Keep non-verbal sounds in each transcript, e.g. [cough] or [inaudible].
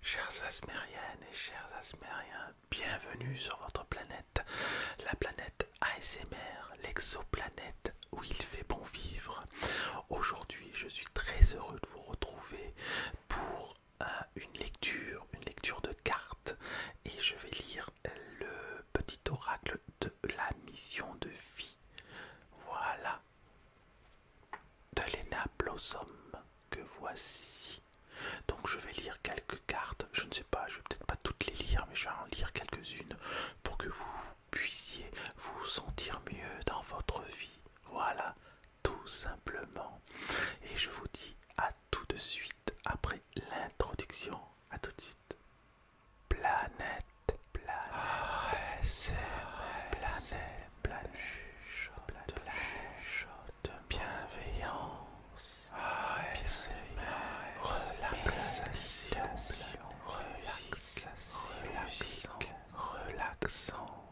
Chers Asmériennes et chers Asmériens, bienvenue sur votre planète, la planète ASMR, l'exoplanète où il fait bon vivre. Aujourd'hui, je suis très heureux de vous retrouver pour une lecture, une lecture de cartes, et je vais lire le petit oracle de la mission de vie. Voilà, de que voici. Donc je vais lire quelques cartes, je ne sais pas, je vais peut-être pas toutes les lire, mais je vais en lire quelques-unes pour que vous puissiez vous sentir mieux dans votre vie. Voilà, tout simplement. Et je vous dis à tout de suite après l'introduction. À tout de suite. Planète, planète, ah, planète planuche de la de bienveillance, ah, relaxation, relaxation, relaxante.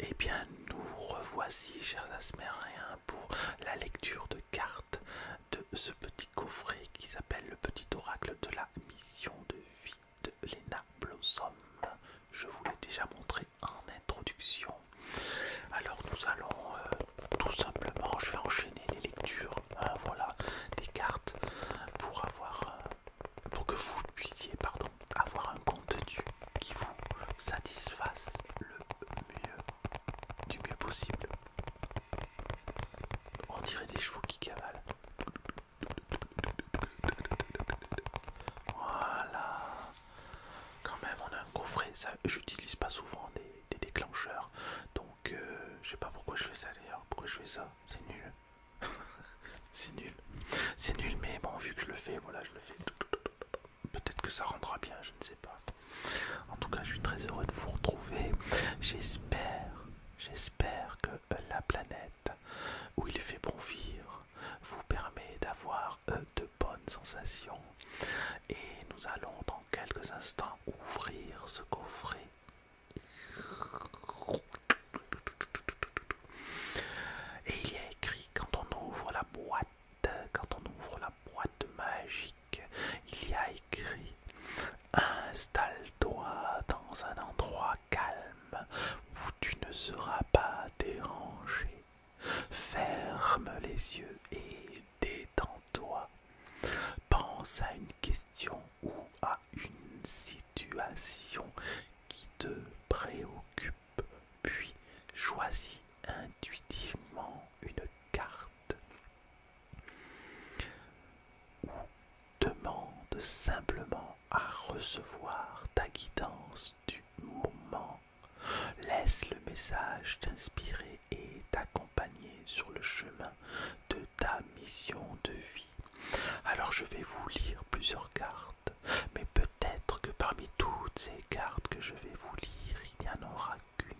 Eh bien, nous revoici, chers Asmériens, pour la lecture de cartes de ce petit coffret qui s'appelle le petit oracle de la mission de vie de Lena Blossom. Je vous l'ai déjà montré en introduction. Alors nous allons euh, tout simplement, je vais enchaîner les lectures, hein, voilà, des cartes pour avoir, euh, pour que vous puissiez, pardon, avoir un contenu qui vous satisfasse le mieux, du mieux possible. On dirait des chevaux qui cavalent. Voilà. Quand même, on a un coffret. j'utilise pas souvent des, déclencheurs. Donc, euh, je sais pas pourquoi je fais ça d'ailleurs. Pourquoi je fais ça C'est nul. [laughs] C'est nul. C'est nul, mais bon, vu que je le fais, voilà, je le fais. Peut-être que ça rendra bien, je ne sais pas. En tout cas, je suis très heureux de vous retrouver. J'espère J'espère que la planète où il fait bon vivre vous permet d'avoir euh, de bonnes sensations. Et nous allons dans quelques instants ouvrir ce coffret. Et il y a écrit quand on ouvre la boîte, quand on ouvre la boîte magique, il y a écrit Installe-toi dans un endroit calme où tu ne seras pas dérangé. Ferme les yeux et détends-toi. Pense à une question ou à une situation qui te préoccupe, puis choisis intuitivement une carte ou demande simplement à recevoir ta guidance du moment. Laisse le message t'inspirer et t'accompagner sur le chemin de ta mission de vie. Alors je vais vous lire plusieurs cartes, mais peut-être que parmi toutes ces cartes que je vais vous lire, il n'y en aura qu'une,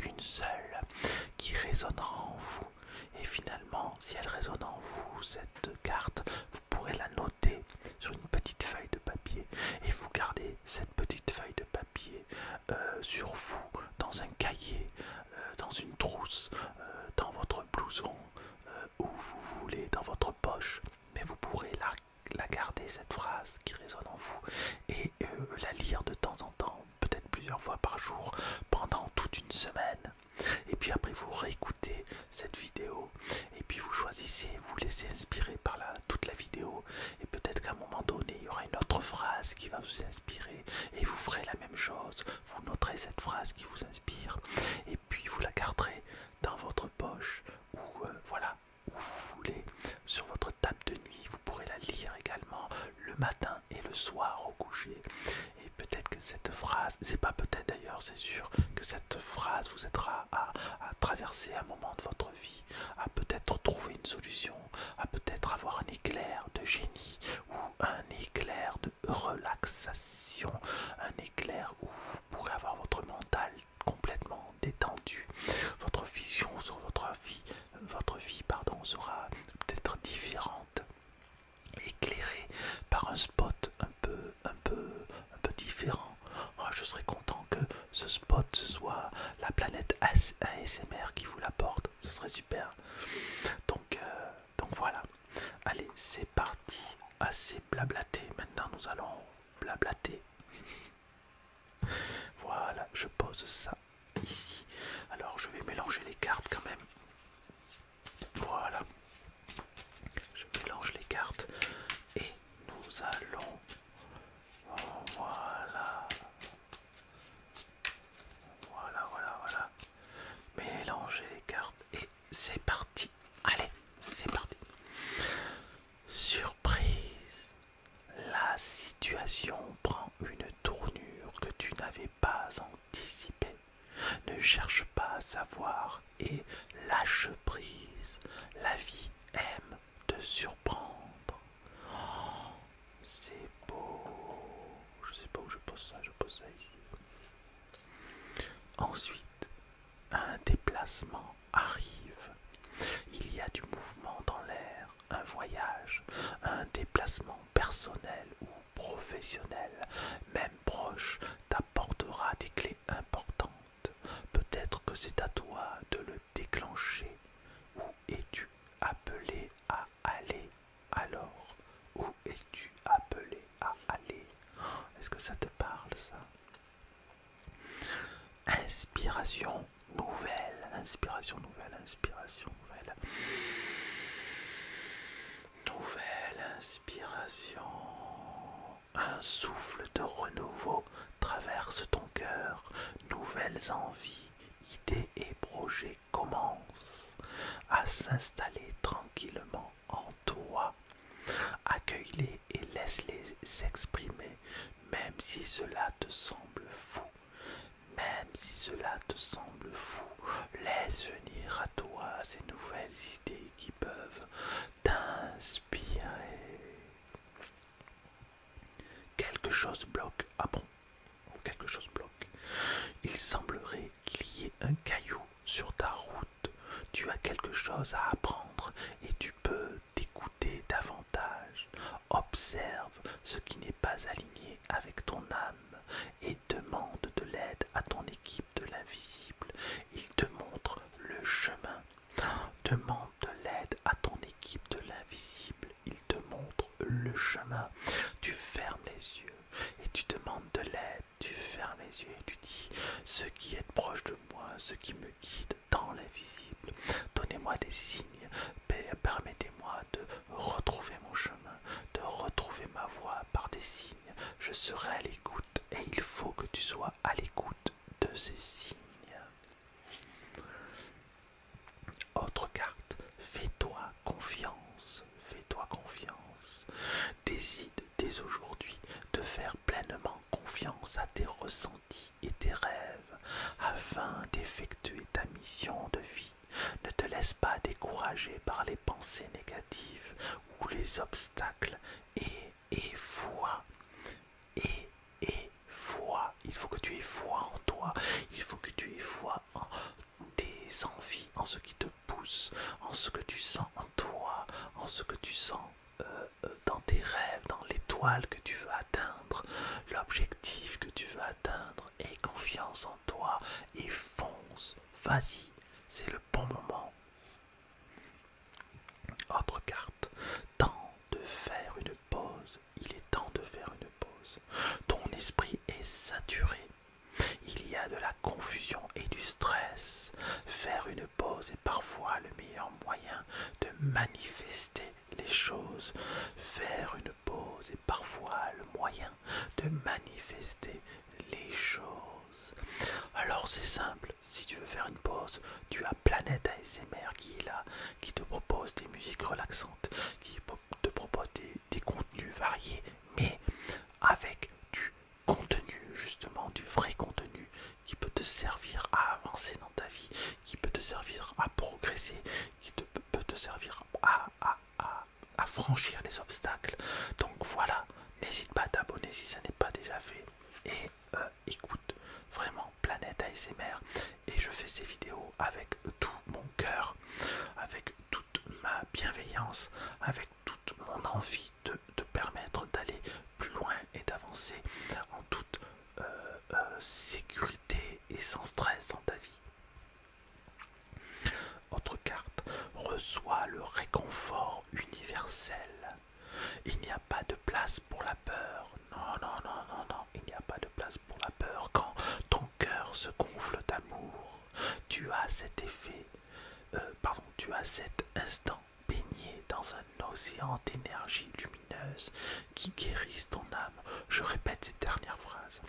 qu'une seule qui résonnera en vous et finalement si elle résonne en vous cette carte vous pourrez la noter sur une petite feuille de papier et vous gardez cette petite feuille de papier euh, sur vous dans un cahier, euh, dans une trousse, euh, dans votre blouson, ou euh, où vous voulez, dans votre poche, mais vous pourrez la, garder, cette phrase qui résonne en vous, et la lire de temps en temps, peut-être plusieurs fois par jour, pendant toute une semaine. Et puis après, vous réécoutez cette vidéo, et puis vous choisissez, vous laissez inspirer par toute la vidéo, et peut-être qu'à un moment donné, il y aura une autre phrase qui va vous inspirer, et vous ferez la même chose, vous noterez cette phrase qui vous inspire et puis vous la garderez dans votre poche ou euh, voilà où vous voulez sur votre table de nuit vous pourrez la lire également le matin et le soir au coucher et peut-être que cette phrase c'est pas peut-être d'ailleurs c'est sûr que cette phrase vous aidera à, traverser un moment de votre vie à peut-être trouver une solution à peut-être avoir un éclair de génie un éclair de relaxation, un éclair où vous pourrez avoir votre mental complètement détendu. Votre vision sur votre vie, votre vie pardon, sera peut-être différente, éclairée par un spot un peu, un peu, un peu différent. je serais content que ce spot soit la planète ASMR qui vous l'apporte. Ce serait super. Donc euh, donc voilà. Allez, c'est parti. Assez blablaté. Maintenant, nous allons blablater. [laughs] voilà, je pose ça ici. Alors, je vais mélanger les cartes quand même. Voilà. Je mélange les cartes et nous allons... Voilà. Voilà, voilà, voilà. Mélangez les cartes et c'est parti. Allez, c'est parti. Surprise. La situation prend une tournure que tu n'avais pas anticipée. Ne cherche pas à savoir et lâche prise. La vie aime te surprendre. Oh, c'est beau. Je sais pas où je pose ça, je pose ça ici. Ensuite, un déplacement arrive. Il y a du mouvement dans l'air, un voyage, un déplacement personnel ou professionnel, même proche, t'apportera des clés importantes. Peut-être que c'est à toi de le déclencher. Où es-tu appelé à aller alors Où es-tu appelé à aller Est-ce que ça te parle ça Inspiration nouvelle, inspiration nouvelle, inspiration nouvelle. Nouvelle inspiration. Un souffle de renouveau traverse ton cœur. Nouvelles envies, idées et projets commence à s'installer tranquillement en toi. Accueille-les et laisse-les s'exprimer, même si cela te semble fou. Même si cela te semble fou, laisse venir à toi ces nouvelles idées qui peuvent t'inspirer. Quelque chose bloque. à quelque chose bloque. Il semblerait qu'il y ait un caillou sur ta route. Tu as quelque chose à apprendre et tu peux t'écouter davantage. Observe ce qui n'est pas aligné avec ton âme et demande de l'aide à ton équipe de l'invisible. Il te montre le chemin. Demande de l'aide à ton équipe de l'invisible. Il te montre le chemin. Tu fermes les yeux et tu demandes de l'aide, tu fermes les yeux et tu dis Ce qui est proche de moi, ce qui me guide dans l'invisible, donnez-moi des signes, permettez-moi de retrouver mon chemin, de retrouver ma voie par des signes. Je serai à l'écoute et il faut que tu sois à l'écoute de ces signes. Autre carte, fais-toi confiance, fais-toi confiance. Décide dès aujourd'hui de faire pleinement confiance à tes ressentis et tes rêves afin d'effectuer ta mission de vie. Ne te laisse pas décourager par les pensées négatives ou les obstacles et, et foi. Et, et foi. Il faut que tu aies foi en toi. Il faut que tu aies foi en des envies, en ce qui te pousse, en ce que tu sens en toi, en ce que tu sens euh, euh, dans tes rêves, dans l'étoile que tu veux atteindre, l'objectif que tu veux atteindre. et confiance en toi et fonce. Vas-y, c'est le bon moment. Autre carte. Temps de faire une pause. Il est temps de faire une pause. Ton esprit est saturé il y a de la confusion et du stress. Faire une pause est parfois le meilleur moyen de manifester les choses. Faire une pause est parfois le moyen de manifester les choses. Alors c'est simple, si tu veux faire une pause, tu as Planète ASMR qui est là, qui te propose des musiques relaxantes, qui te propose des, des contenus variés mais avec du contenu, justement, du vrai contenu qui peut te servir à avancer dans ta vie, qui peut te servir à progresser, qui peut te servir à, franchir les obstacles. Donc voilà, n'hésite pas à t'abonner si ça n'est pas déjà fait. Et euh, écoute vraiment Planète ASMR. Et je fais ces vidéos avec tout mon cœur, avec toute ma bienveillance, avec toute mon envie de te permettre d'aller plus loin et d'avancer en toute euh, euh, sécurité et sans stress dans ta vie. Autre carte, reçois le réconfort universel. Il n'y a pas de place pour la peur. Non, non, non, non, non, il n'y a pas de place pour la peur quand ton cœur se gonfle d'amour. Tu as cet effet, euh, pardon, tu as cet instant baigné dans un océan d'énergie lumineuse qui guérisse ton âme. Je répète cette dernière phrase.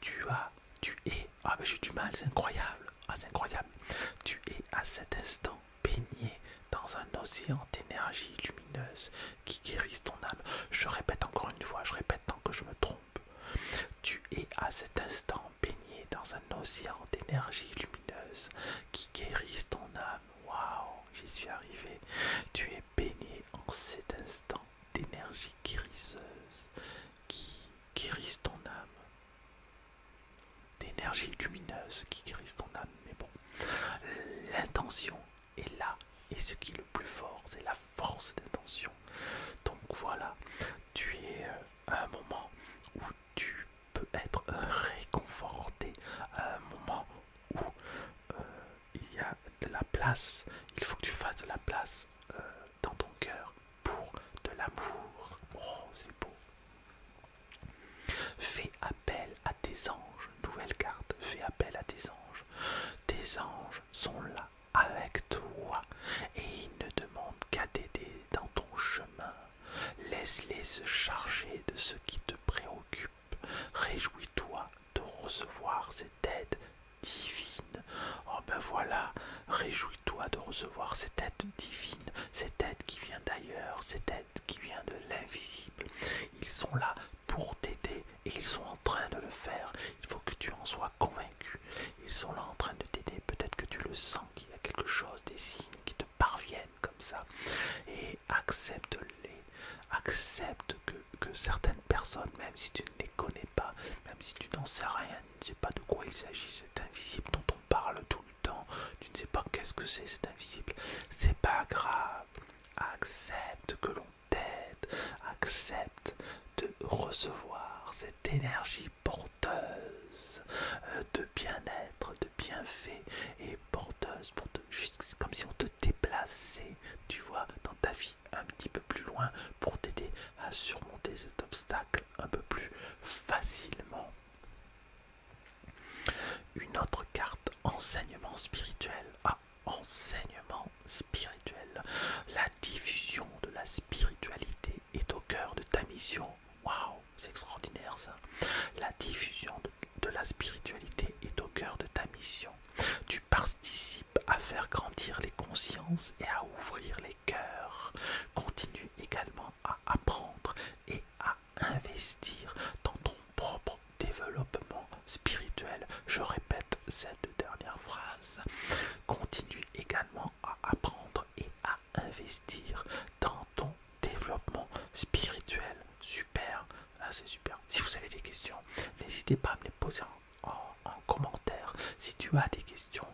Tu as, tu es, ah j'ai du mal, c'est incroyable, ah, c'est incroyable. Tu es à cet instant baigné dans un océan d'énergie lumineuse qui guérisse ton âme. Je répète encore une fois, je répète tant que je me trompe tu es à cet instant baigné dans un océan d'énergie lumineuse qui guérisse ton âme. Waouh, j'y suis arrivé. Tu es baigné en cet instant d'énergie guérisseuse qui guérisse ton âme. D'énergie lumineuse qui guérisse ton âme. Mais bon, l'intention est là. Et ce qui est le plus fort, c'est la force d'intention donc voilà, tu es euh, à un moment où tu peux être réconforté, à un moment où euh, il y a de la place, il faut que tu fasses de la place euh, dans ton cœur pour de l'amour. Oh, c'est beau. Fais appel à tes anges, nouvelle carte, fais appel à tes anges. Tes anges sont là avec toi et ils ne demandent qu'à t'aider dans ton chemin. Laisse-les se charger de ce qui te préoccupe. Réjouis-toi de recevoir cette aide divine. Oh ben voilà, réjouis-toi de recevoir cette aide divine, cette aide qui vient d'ailleurs, cette aide qui vient de l'invisible. Ils sont là pour t'aider et ils sont en train de le faire. Il faut que tu en sois convaincu. Ils sont là en train de t'aider. Peut-être que tu le sens, qu'il y a quelque chose, des signes qui te parviennent comme ça. Et accepte-les. Accepte que, que certaines personnes, même si tu ne les connais pas, même si tu n'en sais rien, tu ne sais pas de quoi il s'agit, c'est invisible dont on parle tout le temps, tu ne sais pas qu'est-ce que c'est, c'est invisible. C'est pas grave. Accepte que l'on t'aide. Accepte de recevoir cette énergie porteuse euh, de bien-être, de bienfaits et porteuse pour te, juste comme si on te déplaçait, tu vois, dans ta vie un petit peu plus loin pour t'aider à surmonter cet obstacle un peu plus facilement. Une autre carte, enseignement spirituel. Ah, enseignement spirituel. La diffusion de la spiritualité est au cœur de ta mission. Waouh, c'est extraordinaire ça. La diffusion de la spiritualité est au cœur de ta mission. Tu participes à faire grandir les consciences et à ouvrir les cœurs. Continue également à apprendre et à investir dans ton propre développement spirituel. Je répète cette dernière phrase. Continue également à apprendre et à investir dans ton développement spirituel. Super, ah, c'est super. Si vous avez des questions, n'hésitez pas à me les poser en, commentaire. Si tu as des questions,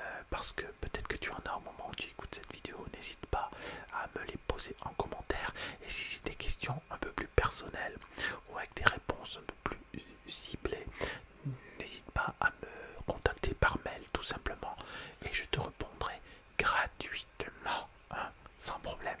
euh, parce que peut-être que tu en as au moment où tu écoutes cette vidéo, n'hésite pas à me les poser en commentaire. Et si c'est des questions un peu plus personnelles ou avec des réponses un peu plus ciblées, n'hésite pas à me contacter par mail tout simplement et je te répondrai gratuitement, hein, sans problème.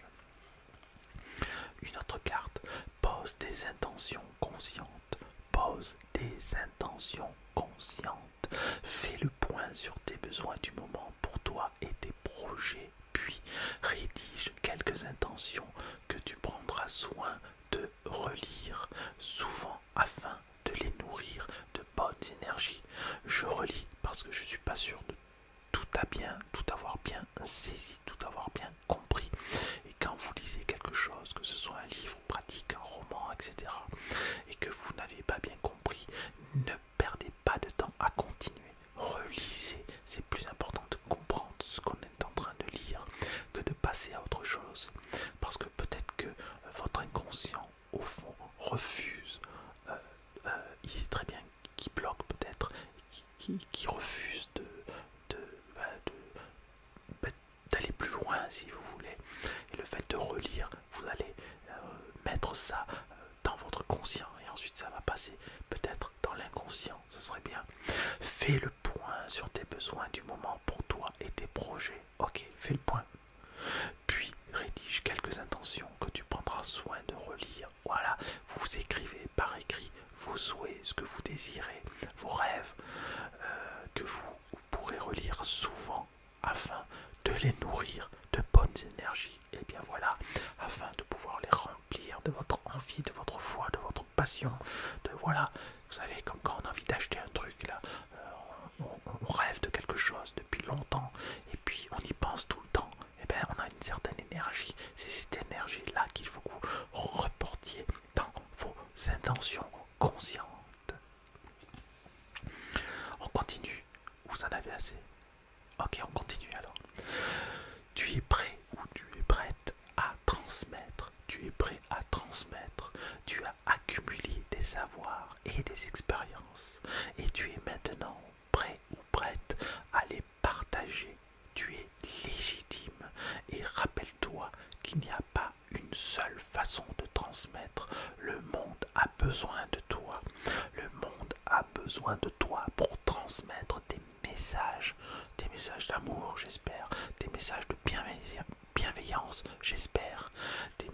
Une autre carte, pose des intentions conscientes, pose des intentions conscientes, fais le point sur tes besoins du moment pour toi et tes projets, puis rédige quelques intentions que tu prendras soin de relire, souvent afin de les nourrir de bonnes énergies. Je relis parce que je suis pas sûr de tout avoir bien saisi, tout avoir bien compris. Et quand vous lisez quelque chose, que ce soit un livre pratique, un roman, etc., et que vous n'avez pas bien compris, ne perdez pas de temps à continuer. Relisez, c'est plus important de comprendre ce qu'on en train de lire que de passer à autre chose. Parce que peut-être que euh, votre inconscient, au fond, refuse. Euh, euh, il sait très bien qui bloque peut-être, qui, refuse de... Bah, bah, d'aller plus loin si vous voulez et le fait de relire vous allez mettre ça dans votre conscient et ensuite ça va passer peut-être dans l'inconscient ce serait bien fais le point sur tes besoins du moment pour toi et tes projets. Ok, fais le point. Puis rédige quelques intentions que tu prendras soin de relire. Voilà, vous écrivez par écrit vos souhaits, ce que vous désirez, vos rêves, euh, que vous, pourrez relire souvent afin de les nourrir de bonnes énergies. Et eh bien voilà, afin de pouvoir les remplir de votre envie, de votre foi, de votre passion, de voilà, vous savez, comme quand on a envie d'acheter un truc, là, euh, on, rêve de quelque chose depuis longtemps, et puis on y pense tout le temps, et eh bien on a une certaine énergie. C'est cette énergie-là qu'il faut que vous reportiez dans vos intentions conscientes. On continue, vous en avez assez. Ok, on continue alors. Tu es prêt ou tu es prête à transmettre, tu es prêt à transmettre, tu as accumulé des savoirs et des expériences, et tu es maintenant prêt ou prête à les partager. Tu es légitime et rappelle-toi qu'il n'y a pas une seule façon de transmettre. Le monde a besoin de toi. Le monde a besoin de toi pour transmettre des messages. Des messages d'amour, j'espère. Des messages de bienveillance bienveillance, j'espère, des,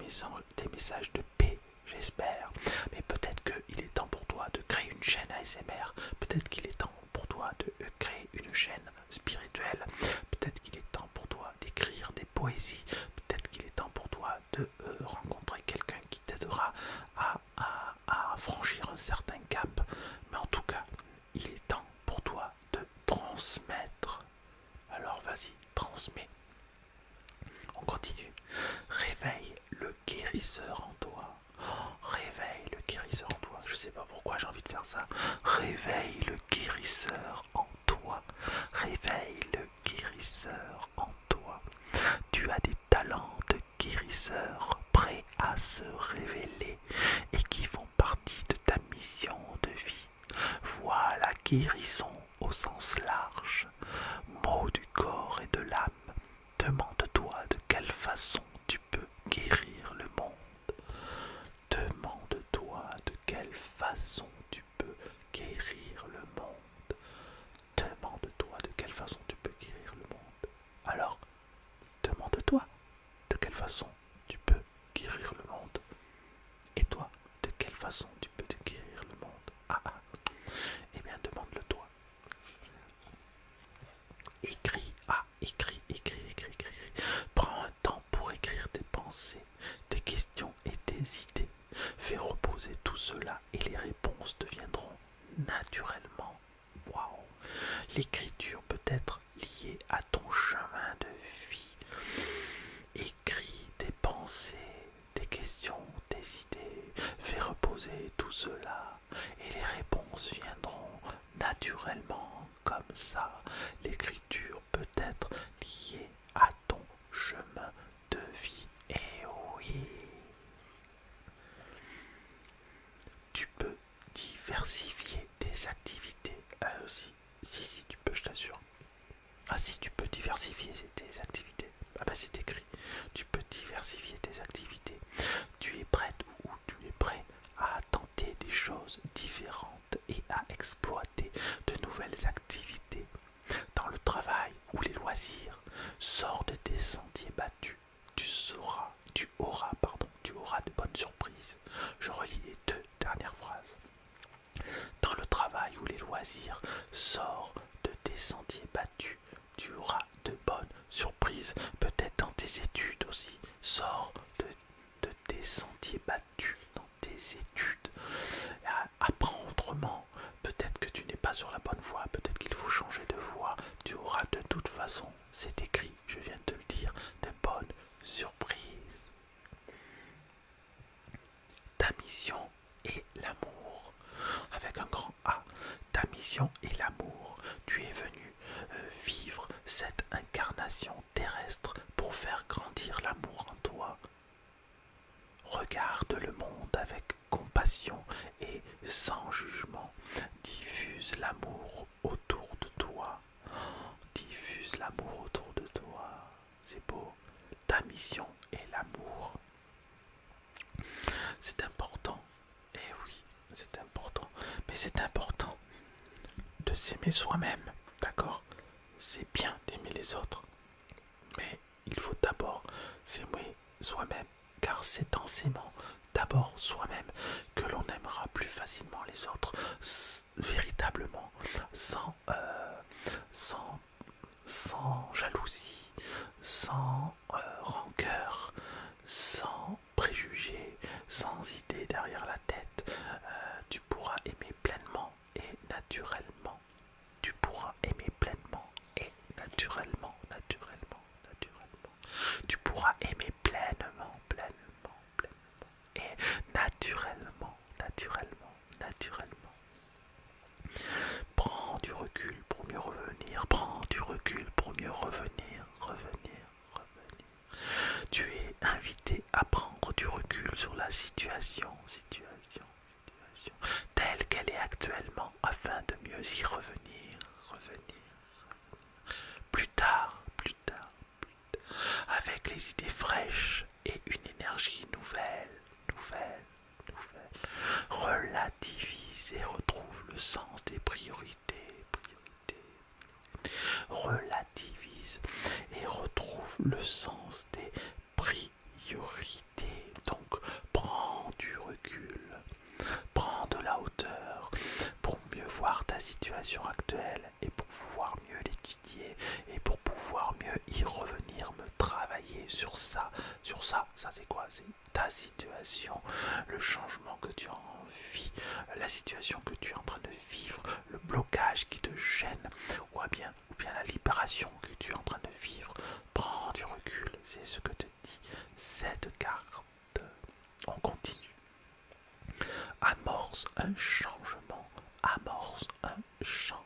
messages de paix, j'espère. Mais peut-être qu'il est temps pour toi de créer une chaîne ASMR, peut-être qu'il est temps pour toi de euh, créer une chaîne spirituelle, peut-être qu'il est temps pour toi d'écrire des poésies, peut-être qu'il est temps pour toi de euh, rencontrer quelqu'un qui t'aidera à franchir un certain cap. Mais en tout cas, il est temps pour toi de transmettre. Alors vas-y, transmets. On continue. Réveille le guérisseur en toi. Réveille le guérisseur en toi. Je sais pas pourquoi j'ai envie de faire ça. Réveille le guérisseur en toi. Réveille le guérisseur en toi. Tu as des talents de guérisseur prêts à se révéler et qui vont partie de ta mission de vie. Voilà guérison au sens large, mot du corps et de l'âme. Demande-toi de quelle façon tu peux guérir le monde. Demande-toi de quelle façon tu peux guérir le monde. Demande-toi de quelle façon tu peux guérir le monde. Alors, demande-toi de quelle façon tu peux guérir le monde. Et toi, de quelle façon tu peux guérir le monde Ah ah Eh bien, demande-le toi. Écris, ah, écris, écris, écris, Prends un temps pour écrire tes pensées, tes questions et tes idées. Fais reposer tout cela et les réponses deviendront naturellement. Waouh L'écriture peut être lié à ton chemin de vie. Écris tes pensées, des questions, tes idées, fais reposer tout cela et les réponses viendront naturellement comme ça. L'écriture peut être liée à ton chemin de vie. Et eh oui, tu peux diversifier tes activités aussi. Si, si, tu peux, je t'assure. Ah, si, tu peux diversifier tes activités. Ah, bah, c'est écrit. Tu peux diversifier tes activités. Tu es prête ou tu es prêt à tenter des choses différentes et à exploiter de nouvelles activités dans le travail ou les loisirs. sort de tes sentiers battus. Tu sauras, tu auras, pardon, tu auras de bonnes surprises. Je relis les deux dernière phrase. Dans le travail ou les loisirs, sors de tes sentiers battus, tu auras de bonnes surprises. Peut-être dans tes études aussi, sors de, tes sentiers battus, dans tes études. Ah, apprends autrement. Peut-être que tu n'es pas sur la bonne voie, peut-être qu'il faut changer de voie. Tu auras de toute façon, c'est écrit, je viens de te le dire, des bonnes surprises. Ta mission est l'amour. Avec un grand A. Ta mission est l'amour. Tu es venu euh, vivre cette incarnation terrestre pour faire grandir l'amour en toi. Regarde le monde avec compassion et sans jugement. Diffuse l'amour autour de toi. Diffuse l'amour autour de toi. C'est beau. Ta mission est l'amour. C'est important. Et eh oui, c'est important. Mais c'est important de s'aimer soi-même. D'accord C'est bien d'aimer les autres. Mais il faut d'abord s'aimer soi-même. Car c'est en s'aimant d'abord soi-même que l'on aimera plus facilement les autres véritablement euh, sans, sans, jalousie, sans euh, rancœur, sans préjugés, sans idées derrière la tête. Euh, tu pourras aimer pleinement et naturellement. Tu pourras aimer pleinement et naturellement, naturellement, naturellement. Tu pourras aimer pleinement, pleinement, pleinement et naturellement, naturellement, naturellement. Prends du recul pour mieux revenir, prends du recul pour mieux revenir, revenir, revenir. Tu es invité à prendre du recul sur la situation, situation, situation, telle qu'elle est actuellement afin de mieux y revenir, revenir. Plus tard, plus tard, avec les idées fraîches et une énergie nouvelle, nouvelle, Relativise et retrouve le sens des priorités, priorités. Relativise et retrouve le sens des priorités. Donc, prends du recul, prends de la hauteur pour mieux voir ta situation actuelle et pour pouvoir mieux l'étudier et pour pouvoir mieux y revenir, me travailler sur ça. Sur ça, ça c'est quoi C'est ta situation, le changement que tu as la situation que tu es en train de vivre, le blocage qui te gêne ou bien, ou bien la libération que tu es en train de vivre. Prends du recul, c'est ce que te dit cette carte. On continue amorce un changement, amorce un changement.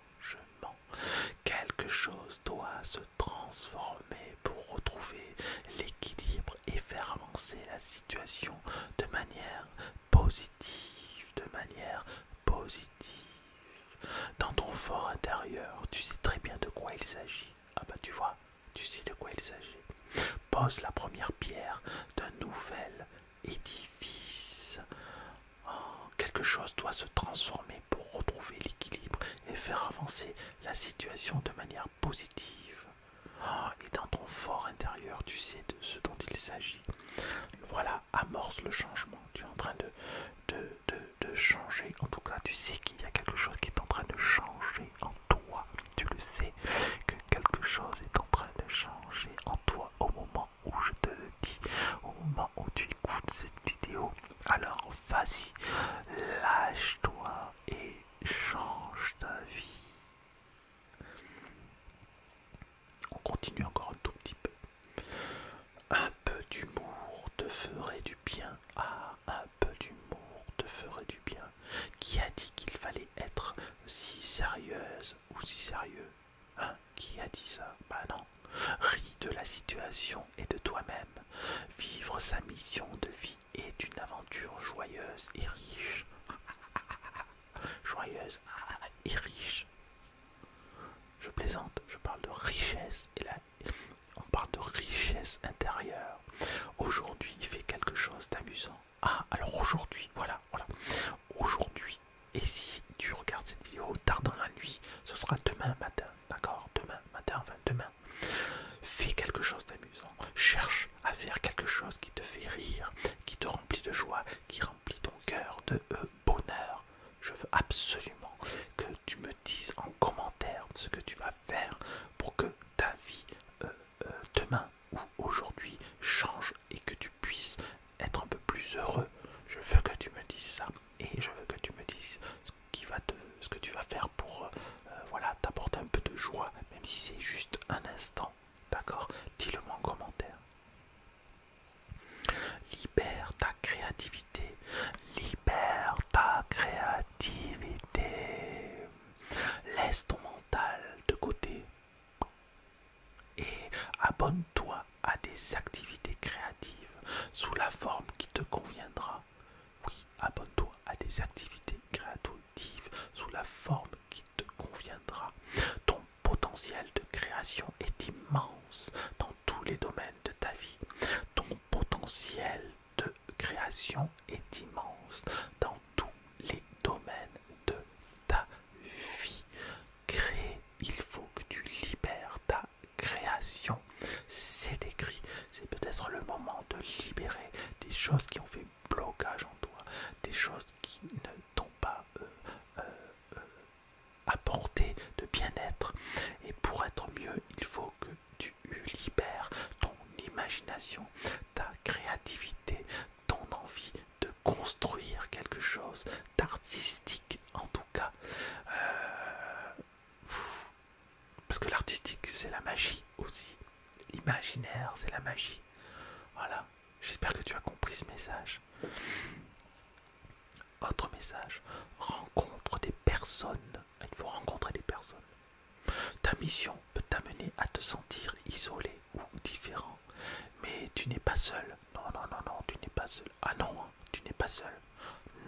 Quelque chose doit se transformer pour retrouver l'équilibre et faire avancer la situation de manière positive, de manière positive. Dans ton fort intérieur, tu sais très bien de quoi il s'agit. Ah bah tu vois, tu sais de quoi il s'agit. Pose la première pierre d'un nouvel édifice. Oh, quelque chose doit se transformer pour retrouver l'équilibre et faire avancer la situation de manière positive. Oh, et dans ton fort intérieur, tu sais de ce dont il s'agit. Voilà, amorce le changement. Tu es en train de, de, de changer. En tout cas, tu sais qu'il y a quelque chose qui est en train de changer en toi. Tu le sais que quelque chose est en train de changer en toi au moment où je te le dis, au moment où tu écoutes cette vidéo. Alors vas-y, lâche-toi et change ta vie. On continue encore un tout petit peu. Un peu d'humour te ferait du bien. Ah, un peu d'humour te ferait du bien. Qui a dit qu'il fallait être si sérieuse si sérieux. Hein Qui a dit ça Bah non. Rie de la situation et de toi-même. Vivre sa mission de vie est une aventure joyeuse et riche. [laughs] Joyeuse et riche. Je plaisante, je parle de richesse et là on parle de richesse intérieure. Aujourd'hui, il fait quelque chose d'amusant. Ah, alors aujourd'hui, voilà, voilà. Aujourd'hui, et si tu regardes cette vidéo tard dans la nuit, ce sera demain matin, d'accord Demain matin, enfin demain. Fais quelque chose d'amusant. Cherche à faire quelque chose qui te fait rire, qui te remplit de joie, qui remplit ton cœur de euh, bonheur. Je veux absolument que tu me dises en commentaire ce que tu vas faire pour que ta vie euh, euh, demain ou aujourd'hui change et que tu puisses être un peu plus heureux. Je veux que tu me dises ça et je veux que tu me dises ce, qui va te, ce que tu vas faire pour euh, euh, voilà, t'apporter un peu de joie, même si c'est juste un instant. D'accord Dis-le-moi en commentaire. Libère ta créativité. Libère ta créativité. Laisse ton mental de côté. Et abonne-toi à des activités créatives sous la forme qui te conviendra. Oui, abonne-toi à des activités créatives sous la forme qui te conviendra. Ton potentiel de création est immense dans tous les domaines de ta vie. Ton potentiel de création est immense dans tous les domaines de ta vie vie. créée, il faut que tu libères ta création. C'est écrit. C'est peut-être le moment de libérer des choses qui ont fait blocage en toi, des choses qui ne t'ont pas euh, euh, euh, apporté de bien-être. Et pour être mieux, il faut que tu libères ton imagination, ta créativité, ton envie de construire quelque chose d'artistique en tout cas euh, parce que l'artistique c'est la magie aussi l'imaginaire c'est la magie voilà j'espère que tu as compris ce message autre message rencontre des personnes il faut rencontrer des personnes ta mission peut t'amener à te sentir isolé ou différent. Mais tu n'es pas seul. Non, non, non, non, tu n'es pas seul. Ah non, hein, tu n'es pas seul.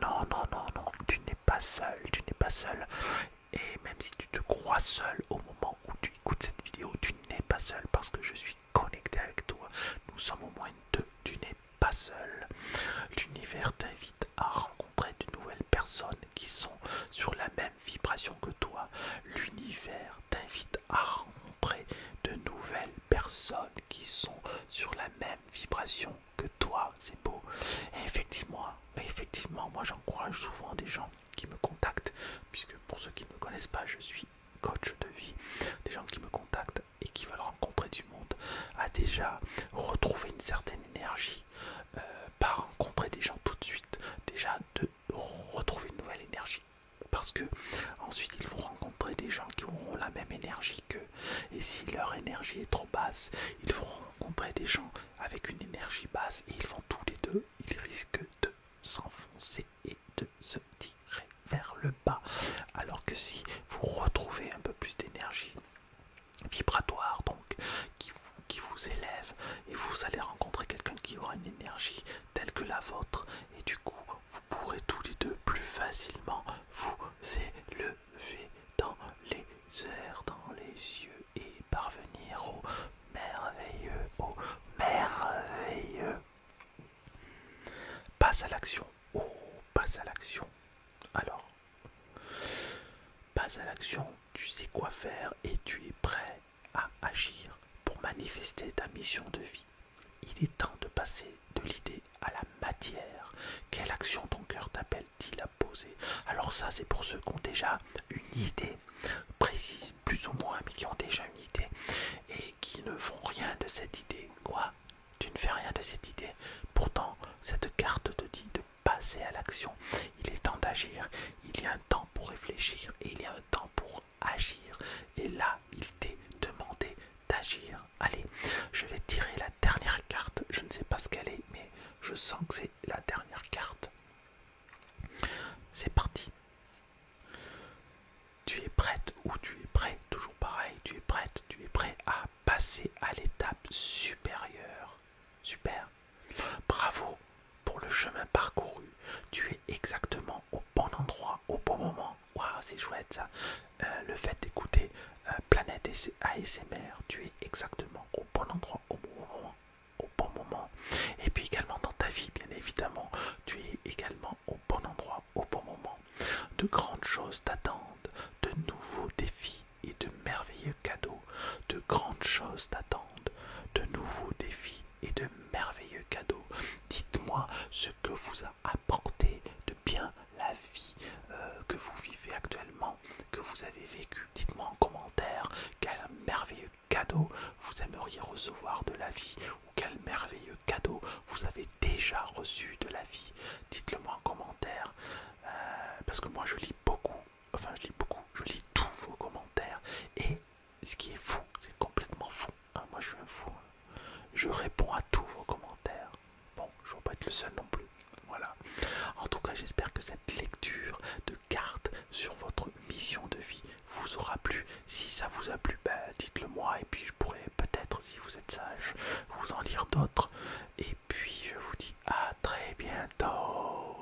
Non, non, non, non, tu n'es pas seul. Tu n'es pas seul. Et même si tu te crois seul au moment où tu écoutes cette vidéo, tu n'es pas seul parce que je suis connecté avec toi. Nous sommes au moins deux. Tu n'es pas seul. L'univers t'invite à rencontrer de nouvelles personnes qui sont sur la même vibration que toi. L'univers t'invite à rencontrer de nouvelles personnes qui sont sur la même vibration que toi, c'est beau. Et effectivement, effectivement moi j'encourage souvent des gens qui me contactent, puisque pour ceux qui ne me connaissent pas, je suis coach de vie, des gens qui me contactent et qui veulent rencontrer du monde, à déjà retrouver une certaine énergie, euh, par rencontrer des gens tout de suite, déjà de retrouver une nouvelle énergie, parce que ensuite ils vont rencontrer des gens qui auront la même énergie qu'eux. Et si leur énergie est trop basse, ils vont rencontrer des gens avec une énergie basse et ils vont tous les deux, ils risquent de s'enfoncer et de se tirer vers le bas. Alors que si vous retrouvez un peu plus d'énergie vibratoire, donc qui qui vous élève, et vous allez rencontrer quelqu'un qui aura une énergie telle que la vôtre, et du coup vous pourrez tous les deux plus facilement vous élever dans les airs, dans les yeux, et parvenir au merveilleux, au merveilleux. Passe à l'action, oh, passe à l'action. Alors, passe à l'action, tu sais quoi faire et tu es prêt à agir pour manifester ta mission de vie. Il est temps de passer de l'idée à la matière. Quelle action ton cœur t'appelle-t-il à poser Alors ça, c'est pour ceux qui ont déjà une idée précise, plus ou moins, mais qui ont déjà une idée et qui ne font rien de cette idée. Quoi Tu ne fais rien de cette idée. Pourtant, cette carte te dit de passer à l'action. Il est temps d'agir. Il y a un temps pour réfléchir et il y a un temps pour agir. Et là, il t'est demandé d'agir. Allez, je vais tirer la dernière carte. Je ne sais pas ce qu'elle est, mais je sens que c'est la dernière carte. C'est parti. Tu es prête ou tu es prêt, toujours pareil, tu es prête, tu es prêt à passer à l'étape supérieure. Super. Bravo pour le chemin parcouru. Tu es exactement au bon endroit au bon moment. Waouh, c'est chouette ça. Euh, le fait d'écouter euh, Planète ASMR, tu es exactement au bon endroit au bon moment. Au bon moment. Et puis également dans ta vie, bien évidemment, tu es également au bon endroit au bon moment. De grandes choses t'attendent, de nouveaux défis et de merveilleux cadeaux. De grandes choses t'attendent, de nouveaux défis et de merveilleux cadeaux. Dites-moi ce que vous a apporté de bien la vie euh, que vous vivez actuellement, que vous avez vécu. Dites-moi en commentaire quel merveilleux cadeau vous aimeriez recevoir de la vie ou quel merveilleux cadeau vous avez déjà reçu de la vie. Dites-le moi en commentaire euh, parce que moi je lis beaucoup, enfin je lis beaucoup, je lis tous vos commentaires et ce qui est fou, c'est complètement fou. Ah, moi, je suis un fou. Hein. Je réponds à tous vos commentaires. Bon, je ne vais pas être le seul non plus. Voilà. En tout cas, j'espère que cette lecture de cartes sur votre mission de vie vous aura plu. Si ça vous a plu, bah, dites-le moi et puis je pourrais, peut-être, si vous êtes sage, vous en lire d'autres. Et puis, je vous dis à très bientôt.